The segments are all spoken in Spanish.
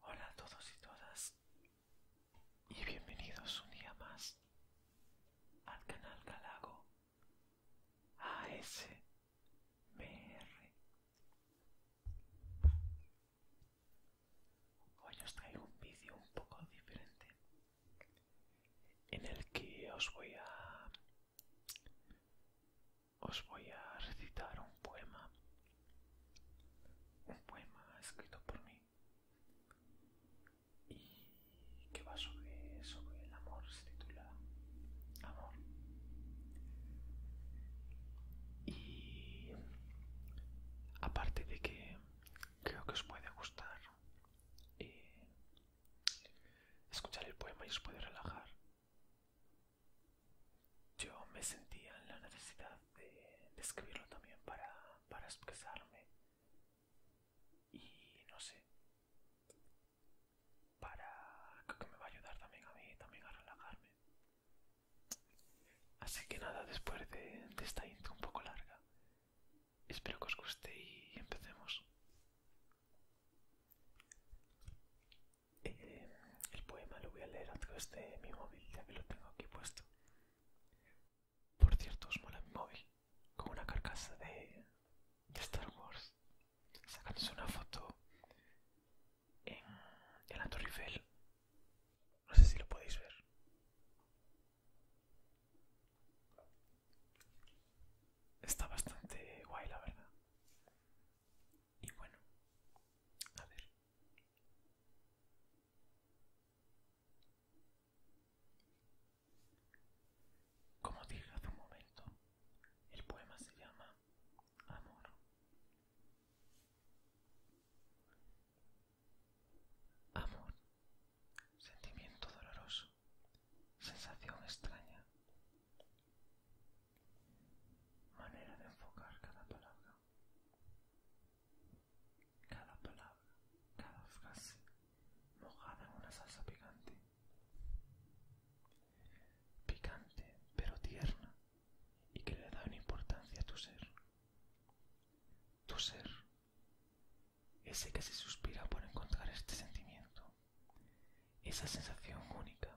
Hola a todos y todas y bienvenidos un día más al canal Galago ASMR. Hoy os traigo un vídeo un poco diferente en el que os voy a os voy a recitar un poema, un poema escrito por mí y que va sobre, sobre el amor, se titula Amor. Y aparte de que creo que os puede gustar eh, escuchar el poema y os puede relajar, yo me sentía en la necesidad de, escribirlo también para, expresarme y no sé, para creo que me va a ayudar también a mí, también a relajarme. Así que nada, después de esta intro un poco larga, espero que os guste y empecemos. Eh, el poema lo voy a leer a través de mi móvil, ya que lo tengo aquí puesto. Por cierto, os mola mi móvil, con una carcasa de, Star Wars. Sacándose una foto en, en la Torre Eiffel. No sé si lo podéis ver está bastante guay, la verdad. Y bueno, a ver. Como dije hace un momento, el poema se llama Amor. Amor, sentimiento doloroso. Sensación extraña. Manera de enfocar cada palabra. Cada palabra, cada frase, mojada en una salsa picante. Picante, pero tierna, y que le da una importancia a tu ser. Tu ser ese que se suspira por encontrar este sentimiento, esa sensación única.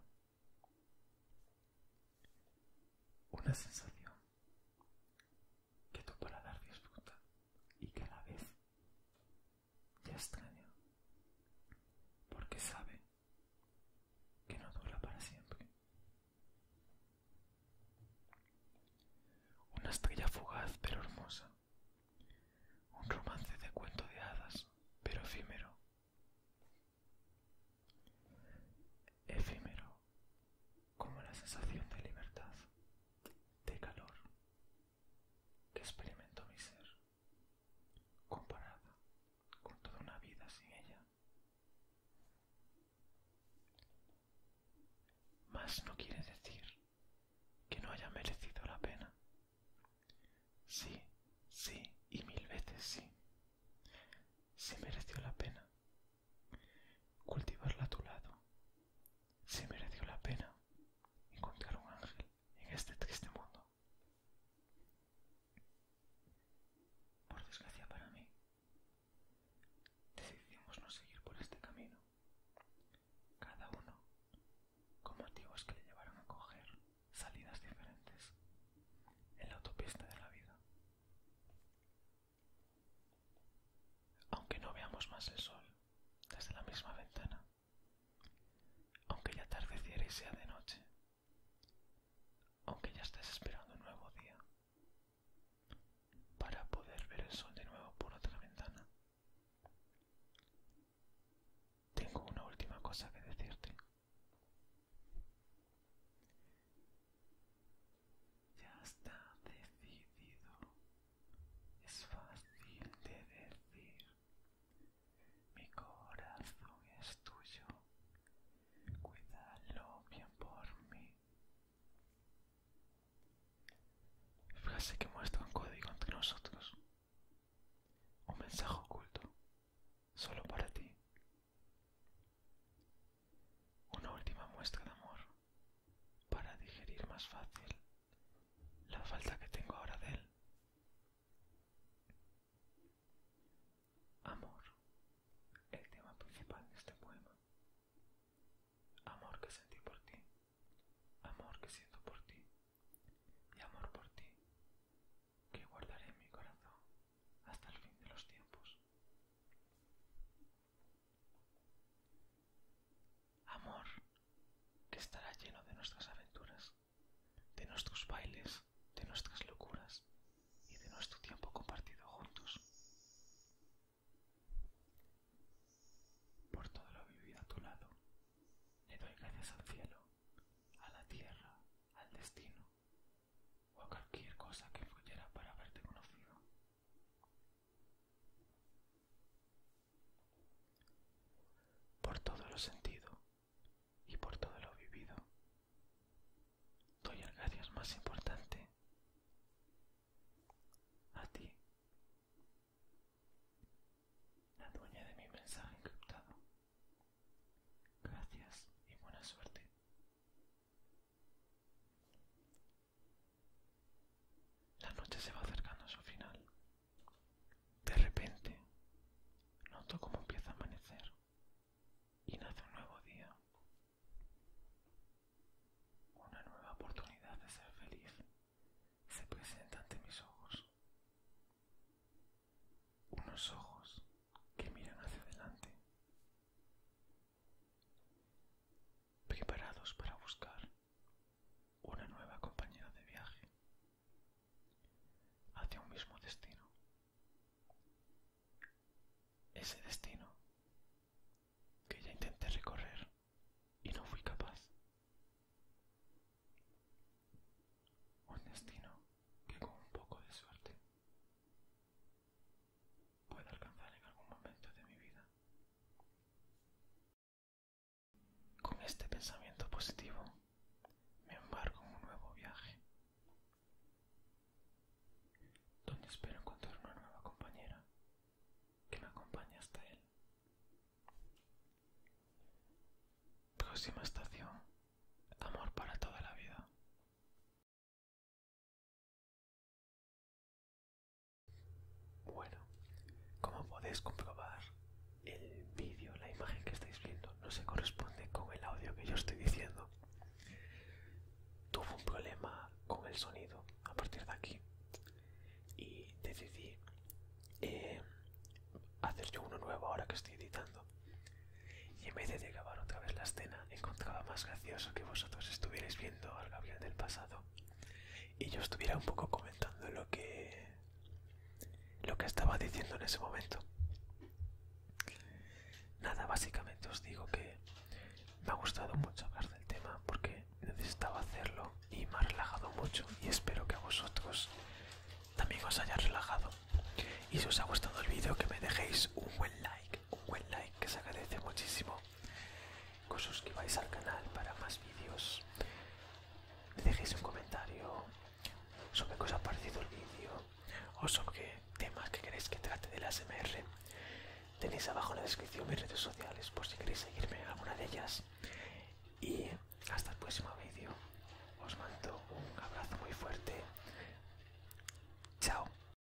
Una sensación que tu dar disfruta y que a la vez ya extraña, porque sabe que no dura para siempre. Una estrella fugaz pero hermosa. Un romance de cuento de hadas pero efímero. Efímero como la sensación de libertad, de calor que experimentó mi ser, comparada con toda una vida sin ella. Más no quiere decir que no haya merecido la pena. Sí, sí y mil veces sí. Se mereció la pena. Cultivarla a tu lado. Se mereció la pena encontrar un ángel en este triste mundo. Por desgracia para mí, Decidimos no seguir por este camino. Cada uno, con motivos que le llevaron a coger salidas diferentes en la autopista de la vida. Aunque no veamos más el sol desde la misma ventana, aunque ya atardeciera y sea de noche, aunque ya estés esperando un nuevo día para poder ver el sol de nuevo por otra ventana. Tengo una última cosa que decirte. Ya está decidido. Es fácil de decir. Mi corazón es tuyo. Cuídalo bien por mí. Frase que muestra un código entre nosotros. Un mensaje oculto. Solo para ti. Una última muestra de amor. Para digerir más fácil la falta que tengo ahora de él. Amor, el tema principal de este poema. Amor que sentí por ti, amor que siento por ti y amor por ti que guardaré en mi corazón hasta el fin de los tiempos. Amor que estará lleno de nuestras aventuras, de nuestros bailes, de nuestras locuras y de nuestro tiempo compartido juntos. Por todo lo vivido a tu lado, le doy gracias al cielo, a la tierra, al destino o a cualquier cosa que fluyera para haberte conocido. Por todo lo sentido, y por todo lo vivido. Doy el gracias más importante a ti, la dueña de mi mensaje encriptado. Gracias y buena suerte. La noche se va acercando a su final de repente, noto cómo empieza a amanecer y nace un nuevo día. Una nueva oportunidad de ser feliz se presenta ante mis ojos. Unos ojos que miran hacia adelante, preparados para buscar una nueva compañera de viaje hacia un mismo destino. Ese destino que ya intenté recorrer y no fui capaz. Un destino que con un poco de suerte puedo alcanzar en algún momento de mi vida. Con este pensamiento positivo me embarco en un nuevo viaje, donde espero encontrar una nueva compañera que me acompañe hasta él. Próxima estación, amor para toda la vida. Bueno, como podéis comprobar, el vídeo, la imagen que estáis viendo, no se corresponde con el audio que yo estoy diciendo. Tuve un problema con el sonido a partir de aquí y decidí eh, hacer yo uno nuevo ahora que estoy editando. Y en vez de grabar otra vez la escena, encontraba más gracioso que vosotros estuvierais viendo al Gabriel del pasado y yo estuviera un poco comentando lo que lo que estaba diciendo en ese momento nada básicamente os digo que me ha gustado mucho hablar del tema porque necesitaba hacerlo y me ha relajado mucho y espero que a vosotros también os haya relajado y si os ha gustado el vídeo que me dejéis un buen like un buen like que se agradece muchísimo. Que os suscribáis al canal para más vídeos. dejéis un comentario sobre qué os ha parecido el vídeo o sobre temas que queréis que trate del ASMR. Tenéis abajo en la descripción mis redes sociales por si queréis seguirme en alguna de ellas. Y hasta el próximo vídeo. Os mando un abrazo muy fuerte. Chao.